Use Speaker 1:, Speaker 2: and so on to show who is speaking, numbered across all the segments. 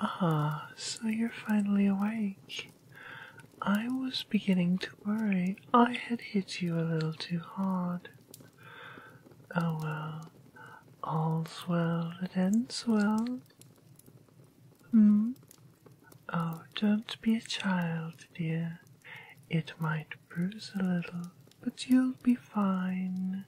Speaker 1: Ah, so you're finally awake. I was beginning to worry I had hit you a little too hard. Oh well, all's well that ends well. Hmm? Oh, don't be a child, dear. It might bruise a little, but you'll be fine.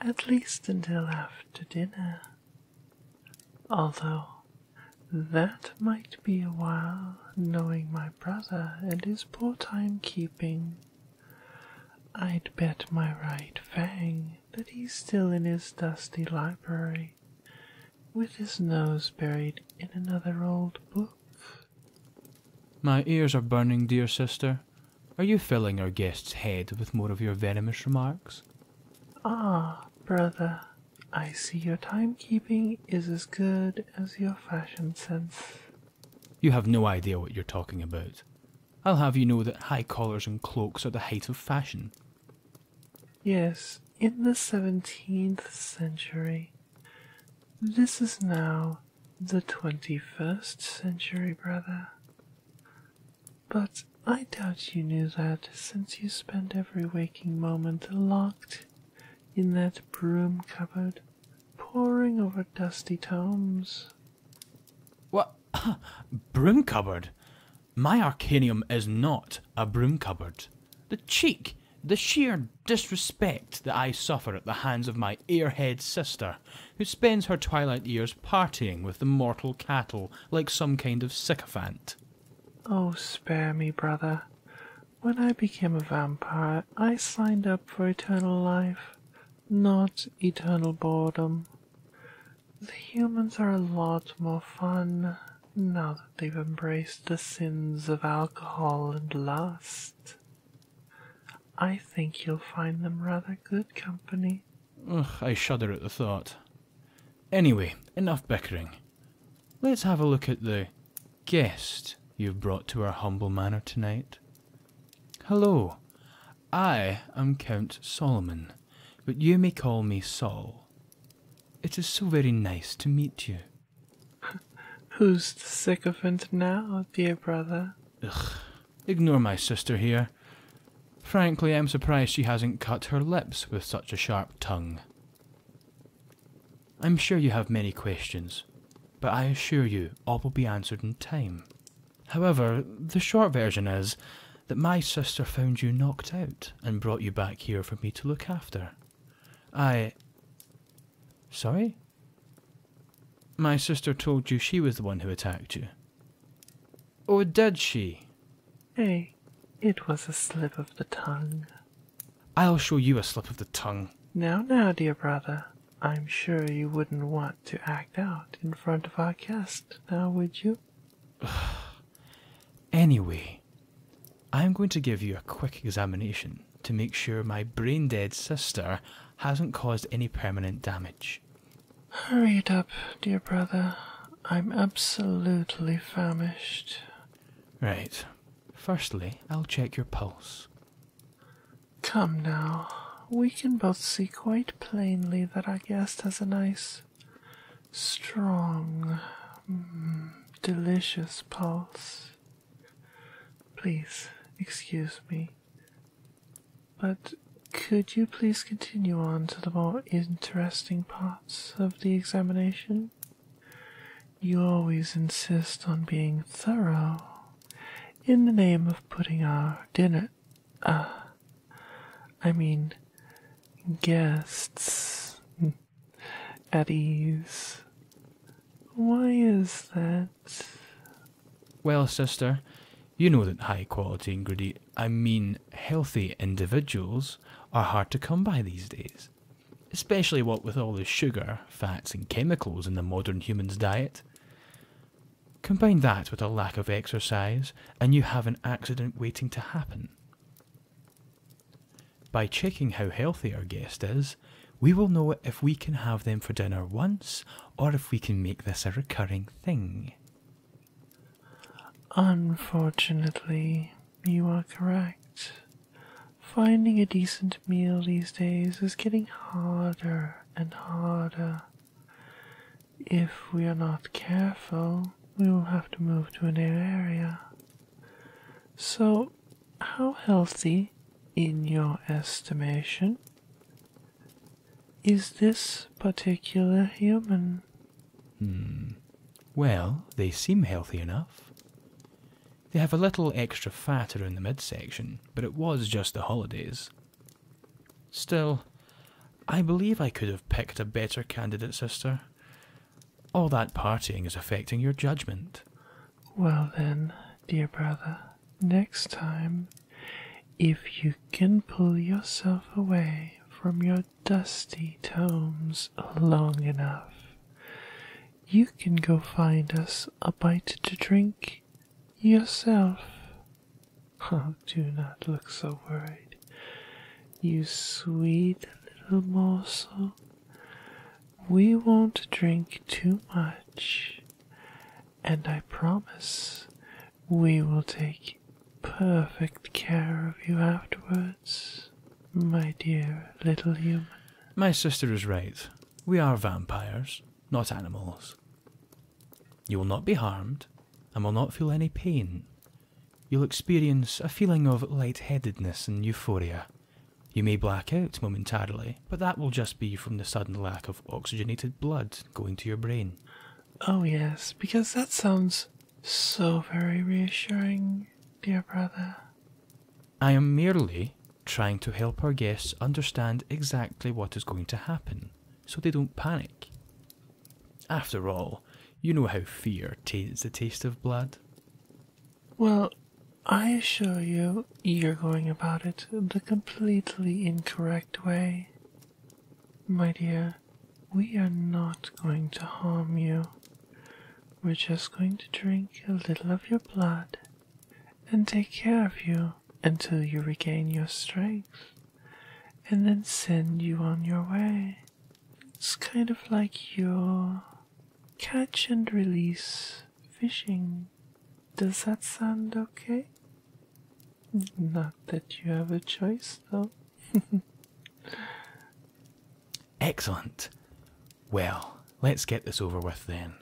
Speaker 1: At least until after dinner. Although that might be a while, knowing my brother and his poor time keeping. I'd bet my right fang that he's still in his dusty library, with his nose buried in another old book.
Speaker 2: My ears are burning, dear sister. Are you filling our guest's head with more of your venomous remarks?
Speaker 1: Ah, brother, I see your timekeeping is as good as your fashion sense.
Speaker 2: You have no idea what you're talking about. I'll have you know that high collars and cloaks are the height of fashion.
Speaker 1: Yes, in the 17th century. This is now the 21st century, brother. But I doubt you knew that since you spent every waking moment locked in that broom cupboard, poring over dusty tomes. What?
Speaker 2: broom cupboard? My Arcanium is not a broom cupboard. The cheek! The sheer disrespect that I suffer at the hands of my airhead sister, who spends her twilight years partying with the mortal cattle like some kind of sycophant.
Speaker 1: Oh, spare me, brother. When I became a vampire, I signed up for eternal life, not eternal boredom. The humans are a lot more fun now that they've embraced the sins of alcohol and lust. I think you'll find them rather good company.
Speaker 2: Ugh, I shudder at the thought. Anyway, enough bickering. Let's have a look at the guest you've brought to our humble manor tonight. Hello, I am Count Solomon, but you may call me Sol. It is so very nice to meet you.
Speaker 1: Who's the sycophant now, dear brother?
Speaker 2: Ugh, ignore my sister here. Frankly, I'm surprised she hasn't cut her lips with such a sharp tongue. I'm sure you have many questions, but I assure you all will be answered in time. However, the short version is that my sister found you knocked out and brought you back here for me to look after. I. Sorry? My sister told you she was the one who attacked you. Or did she?
Speaker 1: Hey, it was a slip of the tongue.
Speaker 2: I'll show you a slip of the tongue.
Speaker 1: Now, now, dear brother, I'm sure you wouldn't want to act out in front of our guest, now would you?
Speaker 2: anyway, I'm going to give you a quick examination to make sure my brain dead sister hasn't caused any permanent damage.
Speaker 1: Hurry it up, dear brother. I'm absolutely famished.
Speaker 2: Right. Firstly, I'll check your pulse.
Speaker 1: Come now. We can both see quite plainly that our guest has a nice, strong, mm, delicious pulse. Please excuse me, but could you please continue on to the more interesting parts of the examination? You always insist on being thorough in the name of putting our dinner. ah, I mean, guests at ease. Why is that?
Speaker 2: Well, sister, you know that high quality ingredient, I mean healthy individuals, are hard to come by these days. Especially what with all the sugar, fats, and chemicals in the modern human's diet. Combine that with a lack of exercise, and you have an accident waiting to happen. By checking how healthy our guest is, we will know if we can have them for dinner once or if we can make this a recurring thing.
Speaker 1: Unfortunately, you are correct. Finding a decent meal these days is getting harder and harder. If we are not careful, we will have to move to a new area. So, how healthy, in your estimation, is this particular human?
Speaker 2: Hmm. Well, they seem healthy enough. They have a little extra fat around the midsection, but it was just the holidays. Still, I believe I could have picked a better candidate, sister. All that partying is affecting your judgment.
Speaker 1: Well, then, dear brother, next time, if you can pull yourself away from your dusty tomes long enough, you can go find us a bite to drink yourself. Oh, do not look so worried, you sweet little morsel. We won't drink too much, and I promise we will take perfect care of you afterwards, my dear little human.
Speaker 2: My sister is right. We are vampires, not animals. You will not be harmed and will not feel any pain. You'll experience a feeling of lightheadedness and euphoria. You may black out momentarily, but that will just be from the sudden lack of oxygenated blood going to your brain.
Speaker 1: Oh, yes, because that sounds so very reassuring, dear brother.
Speaker 2: I am merely trying to help our guests understand exactly what is going to happen so they don't panic. After all, you know how fear taints the taste of blood.
Speaker 1: Well, I assure you, you're going about it the completely incorrect way. My dear, we are not going to harm you. We're just going to drink a little of your blood and take care of you until you regain your strength, and then send you on your way. It's kind of like your catch and release fishing. Does that sound okay? Not that you have a choice, though.
Speaker 2: Excellent. Well, let's get this over with then.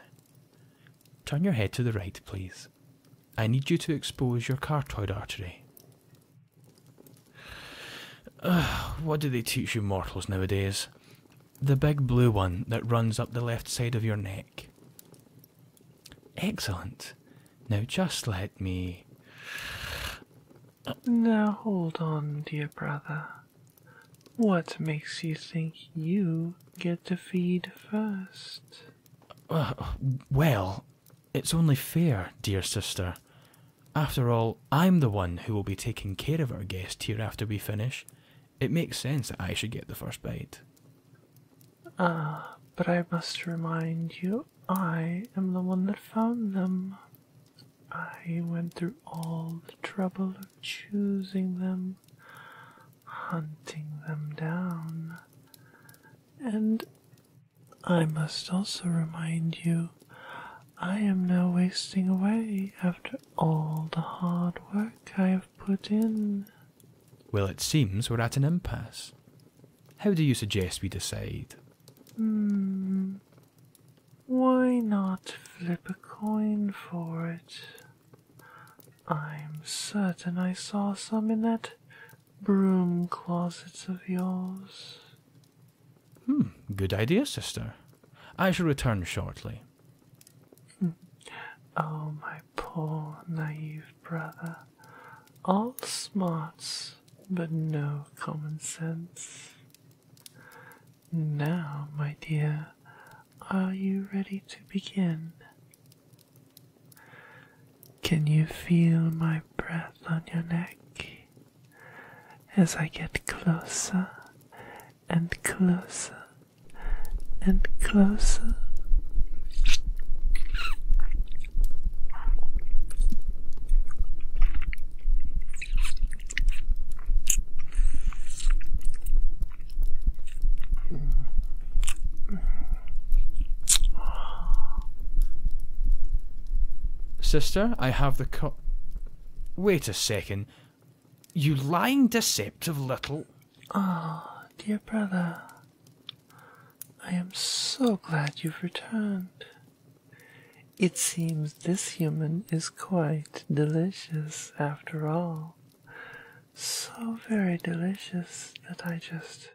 Speaker 2: Turn your head to the right, please. I need you to expose your cartoid artery what do they teach you mortals nowadays? The big blue one that runs up the left side of your neck. Excellent. Now just let me.
Speaker 1: Now hold on, dear brother. What makes you think you get to feed first?
Speaker 2: well, it's only fair, dear sister. After all, I'm the one who will be taking care of our guest here after we finish. It makes sense that I should get the first bite.
Speaker 1: Ah, but I must remind you, I am the one that found them. I went through all the trouble of choosing them, hunting them down. And I must also remind you I am now wasting away after all the hard work I have put in.
Speaker 2: Well, it seems we're at an impasse. How do you suggest we decide?
Speaker 1: Hmm. Why not flip a coin for it? I'm certain I saw some in that broom closet of yours.
Speaker 2: Hmm, good idea, sister. I shall return shortly.
Speaker 1: Hmm. Oh, my poor naive brother. All smarts, but no common sense. Now, my dear, are you ready to begin? Can you feel my breath on your neck? as I get closer and closer and closer.
Speaker 2: Sister, I have the the Wait a second. You lying, deceptive little.
Speaker 1: Ah, dear brother. I am so glad you've returned. It seems this human is quite delicious after all. So very delicious that I just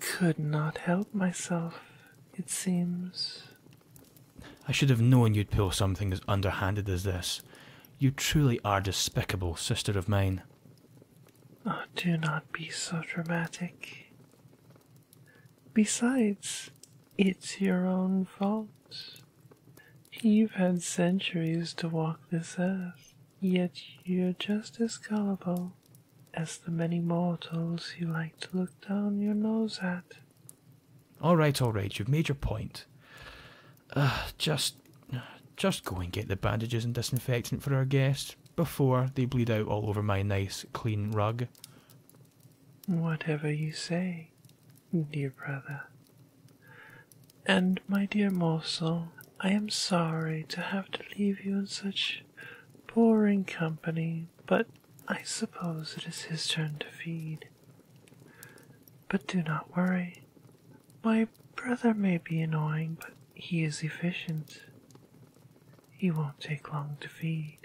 Speaker 1: could not help myself, it seems.
Speaker 2: I should have known you'd pull something as underhanded as this. You truly are despicable, sister of mine.
Speaker 1: Oh, do not be so dramatic. Besides, it's your own fault. You've had centuries to walk this earth, yet you're just as gullible as the many mortals you like to look down your nose at. All
Speaker 2: right, all right, you've made your point. Uh, just, just go and get the bandages and disinfectant for our guest before they bleed out all over my nice, clean rug.
Speaker 1: Whatever you say, dear brother. And my dear morsel, I am sorry to have to leave you in such Boring company, but I suppose it is his turn to feed. But do not worry. My brother may be annoying, but he is efficient. He won't take long to feed.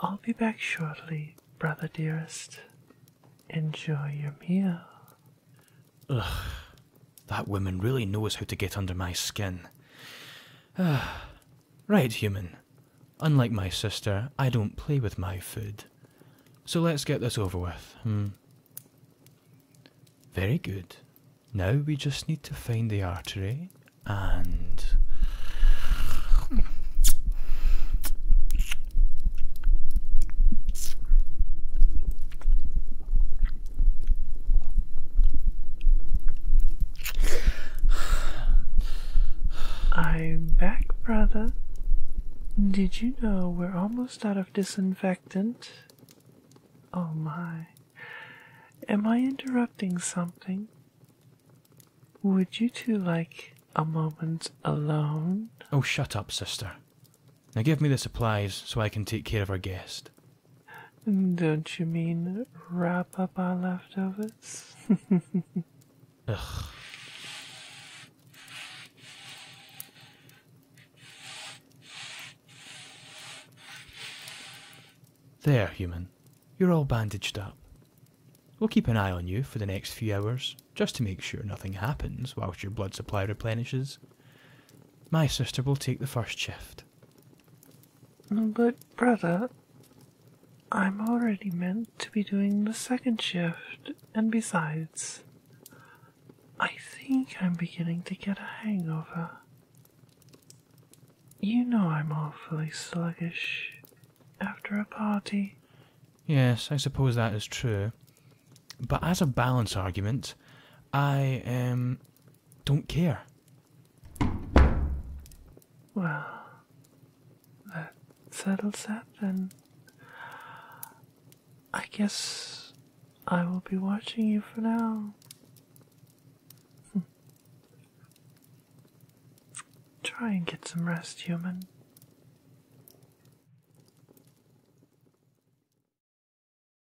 Speaker 1: I'll be back shortly, brother dearest. Enjoy your meal. Ugh,
Speaker 2: that woman really knows how to get under my skin. right, human. Unlike my sister, I don't play with my food. So let's get this over with. Hmm. Very good. Now we just need to find the artery and.
Speaker 1: I'm back, brother. Did you know we're almost out of disinfectant? Oh my. Am I interrupting something? Would you two like a moment alone?
Speaker 2: Oh, shut up, sister. Now give me the supplies so I can take care of our guest.
Speaker 1: Don't you mean wrap up our leftovers? Ugh.
Speaker 2: There, human. You're all bandaged up. We'll keep an eye on you for the next few hours, just to make sure nothing happens whilst your blood supply replenishes. My sister will take the first shift.
Speaker 1: But, brother, I'm already meant to be doing the second shift, and besides, I think I'm beginning to get a hangover. You know I'm awfully sluggish after a party.
Speaker 2: Yes, I suppose that is true. But as a balance argument, I am don't care.
Speaker 1: Well, that settles that then. I guess I will be watching you for now. Hmm. Try and get some rest, human.